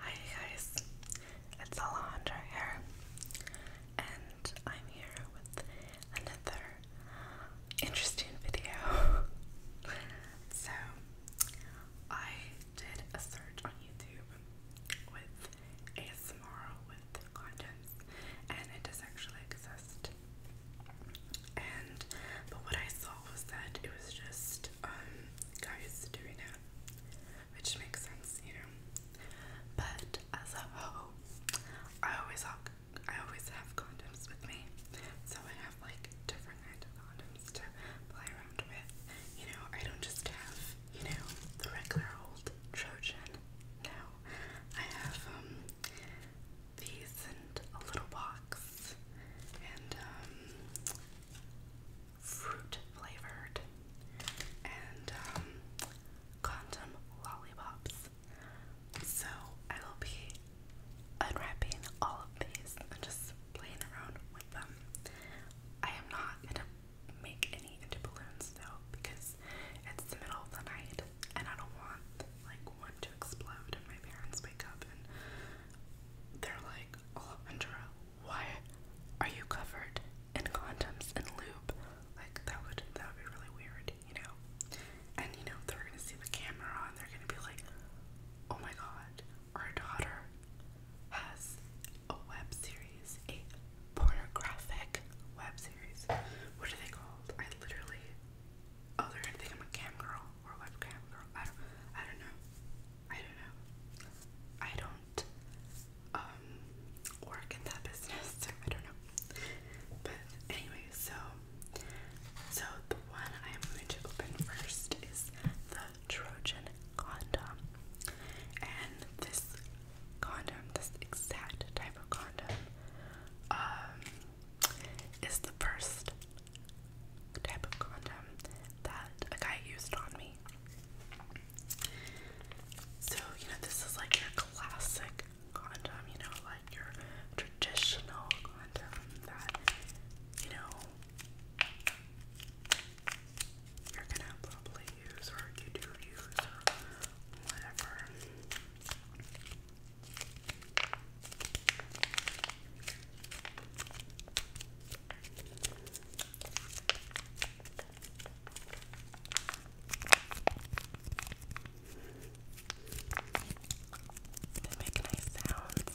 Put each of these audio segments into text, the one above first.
Hi guys, it's Alejandra here, and I'm here with another interesting video. so, I did a search on YouTube with ASMR with contents, and it does actually exist. And but what I saw was that it was just um, guys doing it, which makes sense, you know. But as a whole, I always have, I always have condoms with me, so I have like different kinds of condoms to play around with. You know, I don't just have, you know, the regular old Trojan. No, I have um these and a little box and um fruit flavored, and um, lollipops. So I will be unwrapping all of these and just playing around with them. I am not gonna make any into though because it's the middle of the night and I don't want like one to explode and my parents wake up and they're like, oh, Andrea, why are you covered in condoms and lube? Like that would that would be really weird, you know? And you know, they're gonna see the camera and they're gonna be like, Oh my god, our daughter has a web series, a pornographic web series. What are they called? I literally Oh, they're gonna think I'm a cam girl or webcam girl. I don't, I don't know. I don't know. I don't um, work in that business, I don't know. But anyway, so so the one I am going to open first is the Trojan condom. And this condom, this exact type of condom, um, is the first type of condom that a guy used on me. So, you know, this is like your classic condom, you know, like your traditional condom that, you know, you're gonna probably use or you do use or whatever. They make nice sounds.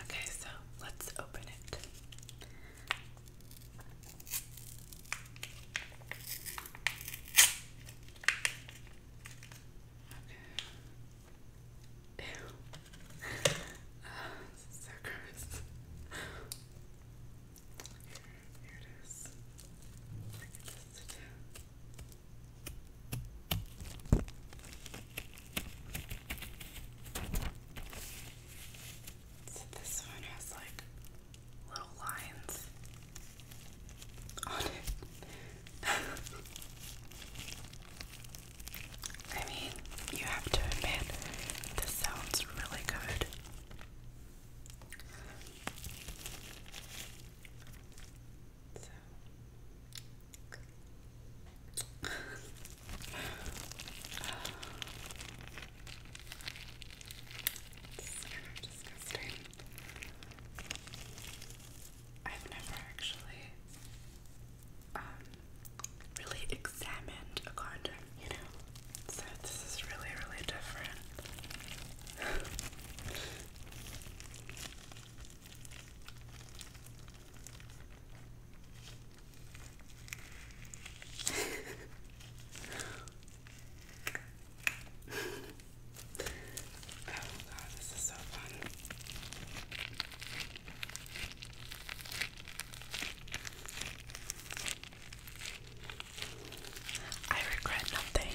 Okay, so let's open it. Okay. Ew. Oh, so gross. Here, it is. So this one has like little lines on it. I mean, you have to admit, this sounds really good. So. disgusting. I've never actually um, really examined a condom, you know? So this is really, really different. Oh god, this is so fun. I regret nothing.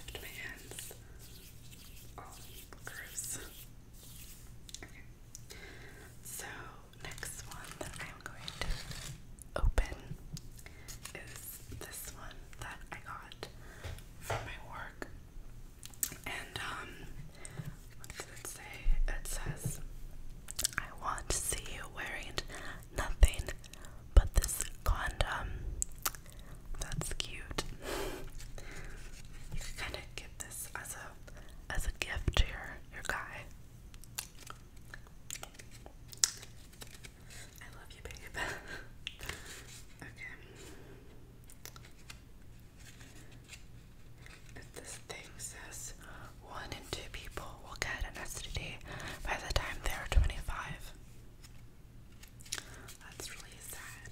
Left my hands all oh, curves. Okay. So next one that I'm going to open is this one that I got from my work. And um what does it say? It says I want to see you wearing nothing but this condom. That's cute. you can kind of give this as a as a gift to your your guy. I love you, babe. okay. If this thing says one in two people will get an STD by the time they are 25. That's really sad.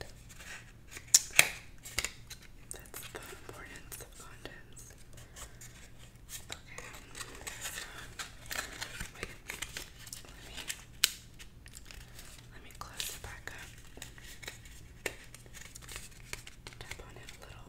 That's the importance of condoms. Okay. Wait. Let me let me close it back up. Tap on it a little.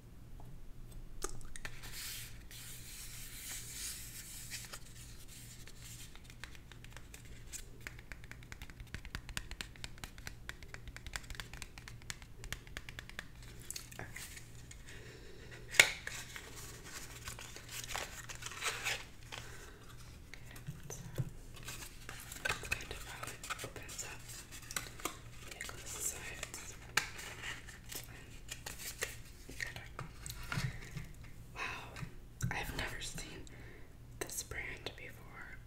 Okay. Okay, so kind of how it opens up the necklace side. Wow, I've never seen this brand before.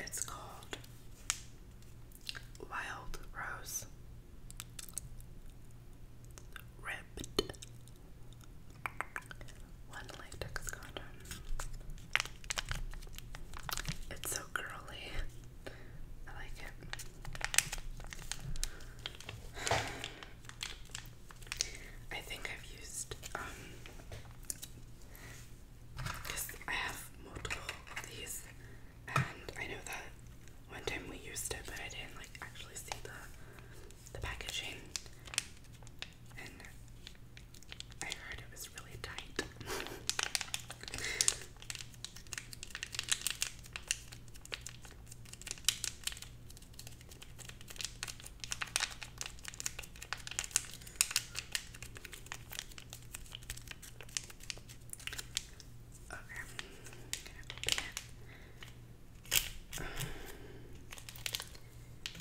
It's called Wild Rose Ribbed One Latex Condom. It's so girly. I like it. I think I've used um because I have multiple of these and I know that one time we used it but I didn't like actually see the the packaging and I heard it was really tight. Okay, I'm gonna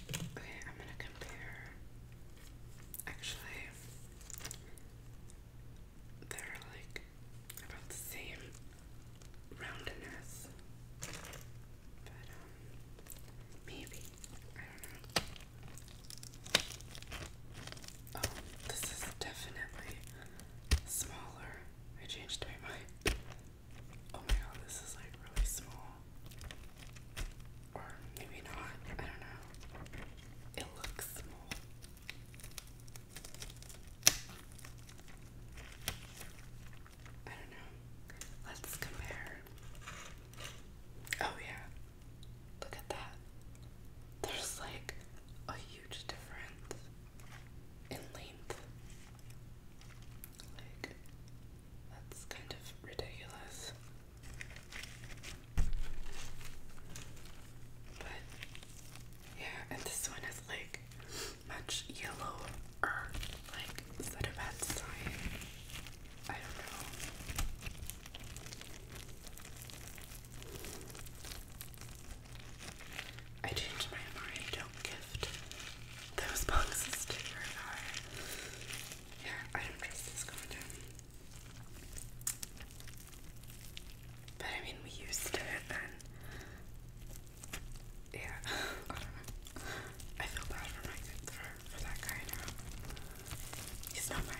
Okay, I'm gonna compare. Actually, they're like about the same roundness. But um, maybe. I don't know. Oh, this is definitely smaller. I changed my mind. Oh my god, this is like really small. Or maybe not. I don't know. It looks small. I don't know. Let's compare. Oh, yeah. Look at that. There's like a huge difference in length. Like, that's kind of ridiculous. But yeah, and this one is like much yellower, like is that a I don't know. I changed my mind, don't gift those boxes to your car. Yeah, I don't trust this content. But I mean, we used it yeah, I feel bad for my for, for that guy now. He's not my guy.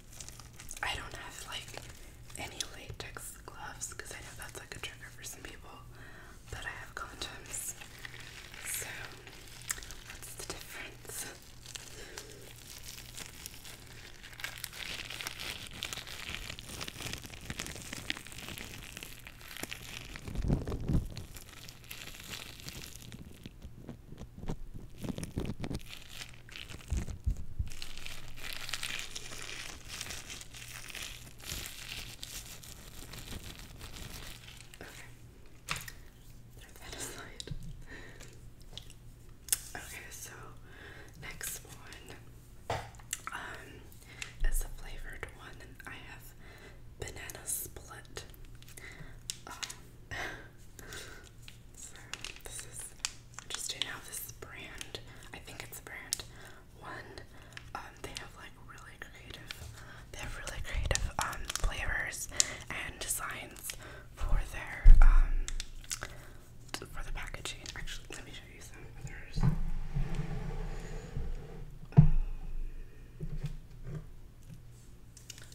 I don't have like any latex gloves because I know that's like a trigger for some people, but I have condoms. So, what's the difference? Throw that aside. Okay, so next one um, is a flavored one, I have banana split. Uh, So this is interesting how this brand, I think it's a brand one, um, they have like really creative, they have really creative um, flavors and designs for their, um, for the packaging. Actually, let me show you some others. Um,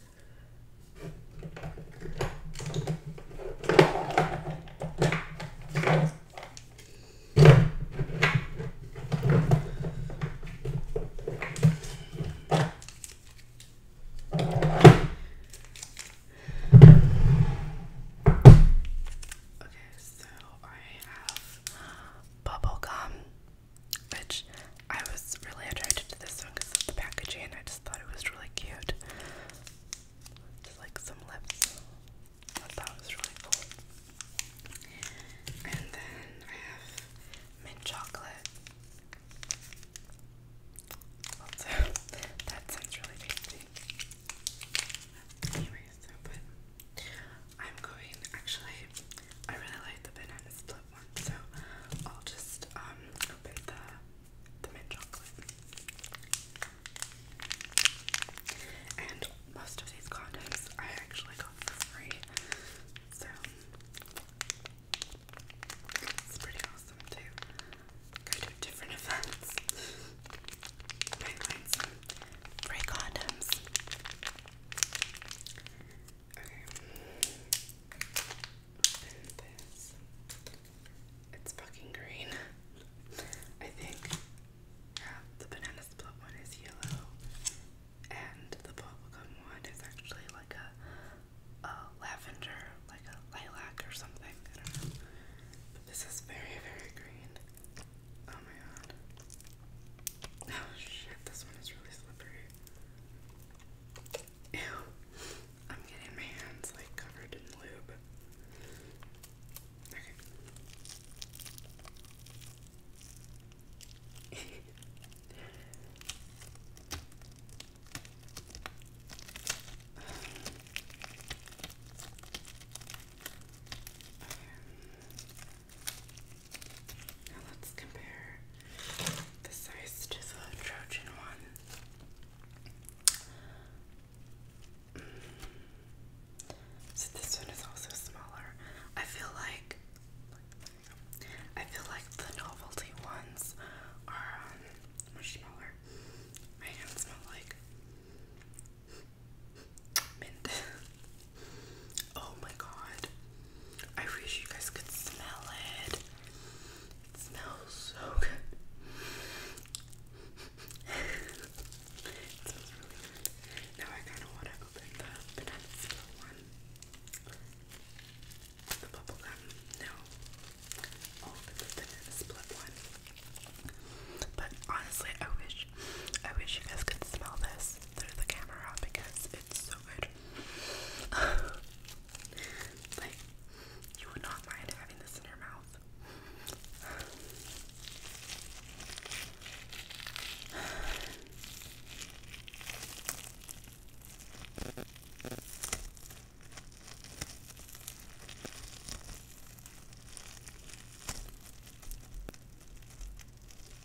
Okay, so I have bubble gum which I was really attracted to this one because of the packaging. and I just thought it was really cute. Just like some lips. thought it was really cool. And then I have mint chocolate. Also, that sounds really tasty. Anyways, but I'm going actually I really like the banana split so I'll just um, open the the mint chocolate. And most of these condoms I actually got for free. So it's pretty awesome to go to different events. free condoms. Okay. It's fucking green. I think yeah, the banana split one is yellow, and the bubblegum one is actually like a, a lavender, like a lilac or something. But this is very, very green. Oh my god. Oh shit, this one is really slippery. Ew. I'm getting my hands like covered in lube. Okay. um, now let's compare the size to the Trojan one. Mm. So this one is also smaller. I feel like I feel like the novelty ones are um, smaller. My hands smell like mint. oh my god. I wish you guys could smell it. It smells so good. it smells really good. Now I kind of want to open the banana one. The bubble No. open the banana split one. But honestly, I wish, I wish you guys could smell this through the camera because it's so good. like, you would not mind having this in your mouth. so, okay, I'm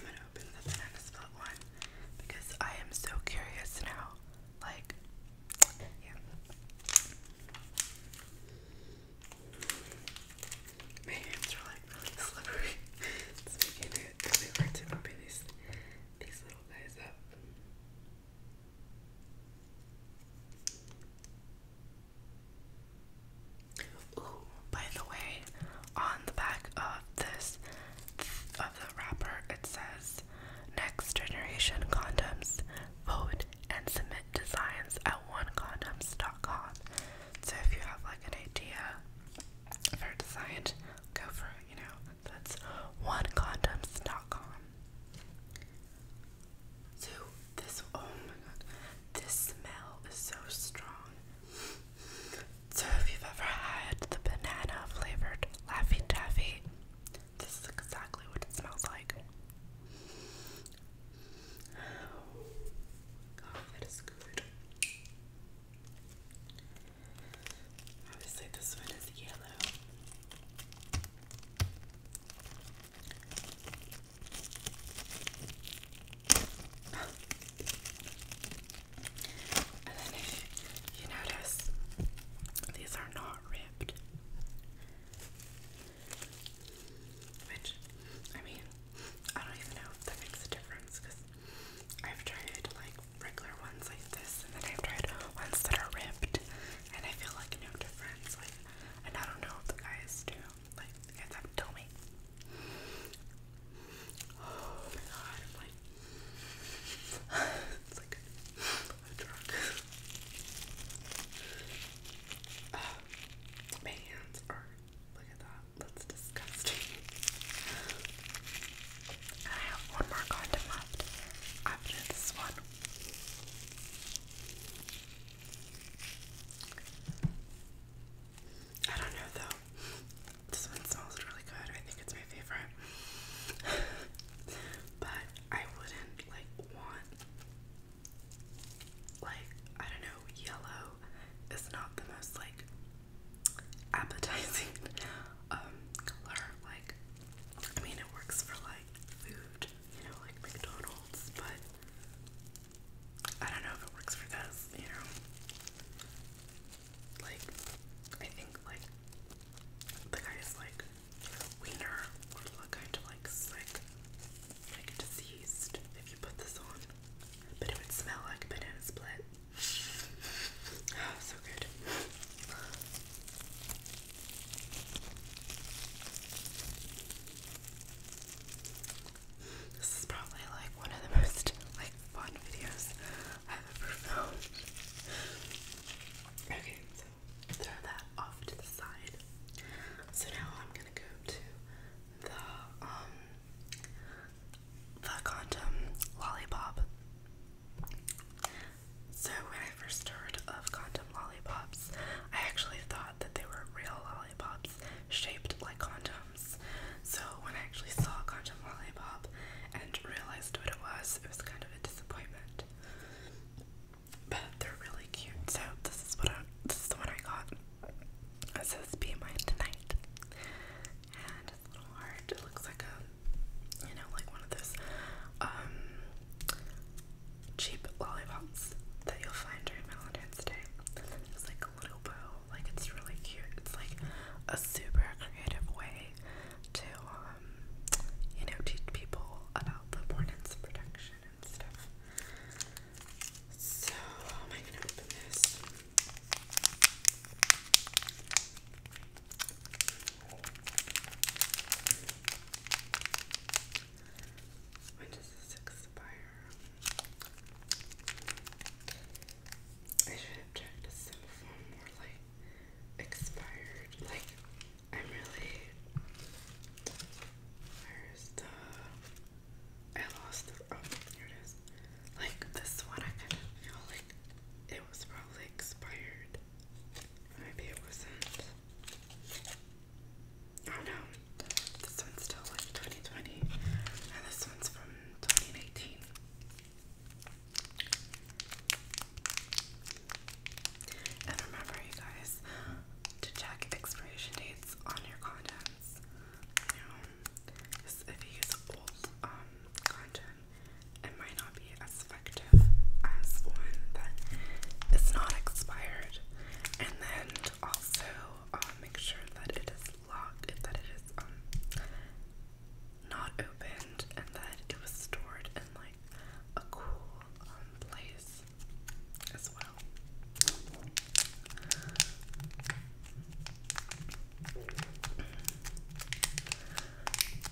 gonna open the banana split one because I am so curious now. Like, my hands are like really slippery. it's really hard to open these these little guys up. Ooh, by the way, on the back of this of the wrapper it says next generation condoms, vote and submit designs at onecondoms.com. So if you have like an idea for a design, go for it, you know. That's onecondoms.com. So this oh my god, this smell is so strong. So if you've ever had the banana flavored Laffy Taffy, this is exactly what it smells like. God, oh, that is good. Obviously, this one is yellow. and then, you notice, these are not are ripped. Which, I mean, I don't even know if that makes a difference because I've tried like regular ones like this, and then I've tried ones that are ripped, and I feel like no difference. Like, and I don't know if the guys do. Like, you guys have tell me. Oh my god, like, it's like i my hands are. Look at that. That's disgusting. I have one more condom left after this one. I don't know though. This one smells really good. I think it's my favorite. but I wouldn't like want like I don't know, yellow is not the most like appetizing um color. Like I mean it works for like food, you know, like McDonald's, but I don't know if it works for this, you know. Like I think like the guy is like wiener kind of like sick, like diseased if you put this on. But it would smell like banana split. so good. This is probably like one of the most like fun videos I've ever filmed. Okay, throw that off to the side. So now I'm gonna go to the um the condom lollipop. So when I first heard of condom lollipops, I actually thought that they were real lollipops shaped like condoms. So when I actually saw a condom lollipop and realized what it was, it was kind of a disappointment. But they're really cute. So this is what I this is the one I got. It says be mine tonight. And it's a little heart. It looks like a you know, like one of those um cheap lollipops that you'll find during Valentine's Day. It's like a little bow, like it's really cute. It's like a super creative way to um, um, you know, teach people about the importance of protection and stuff. So, how am I going to open this? When does this expire? I should have checked. Is some more expired. Like, I'm really. Where's uh, the. I lost the. Oh, here it is. Like, this one, I feel like it was probably expired. Maybe it wasn't. Oh no, this one's still like 2020, and this one's from 2019. And remember, you guys, to check expiration dates on your contents. You know, if you use old um, content, it might not be as effective as one that is not expired. And then also um, make sure that it is locked, that it is um, not opened and that it was stored in like a cool um, place as well.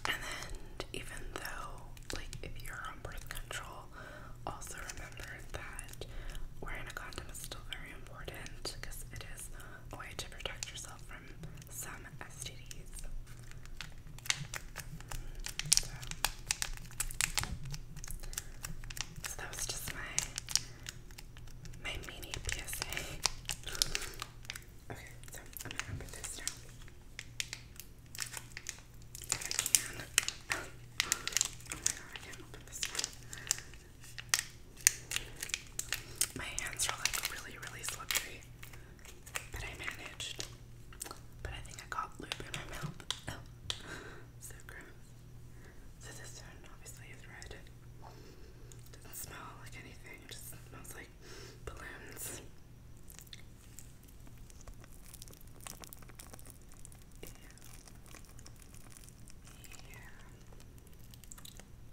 And even though, like, if you're on birth control, also remember that wearing a condom is still very important because it is a way to protect yourself from some STDs. So, that was just my my mini PSA. Okay, so I'm gonna put this down. I can. Oh, oh my god, I can't open this My hands are like really, really slippery. But I managed. But I think I got lube in my mouth. Oh, so gross. So this one obviously is red. Doesn't smell like anything. just smells like balloons. Yeah. Yeah.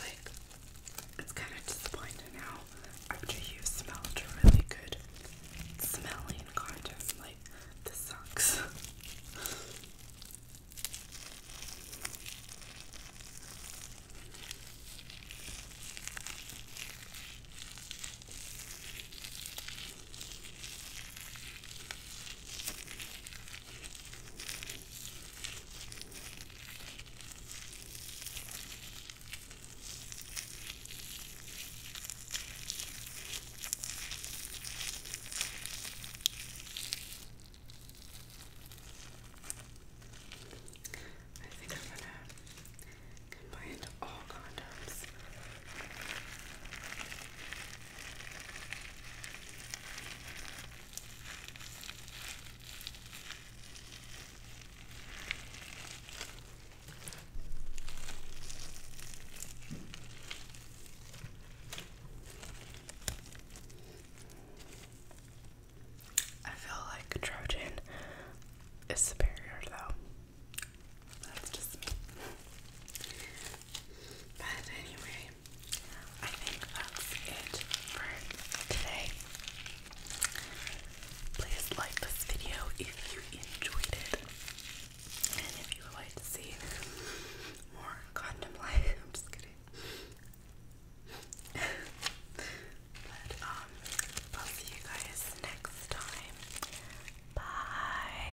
Like, it's kind of disappointing now after you've smelled really good smelling contest. Like, this sucks. I think I'm gonna combine all condoms. I feel like Trojan is superior though. But anyway, I think that's it for today. Please like this video if you enjoyed it. And if you would like to see more condom life, I'm just kidding. but um, I'll see you guys next time. Bye.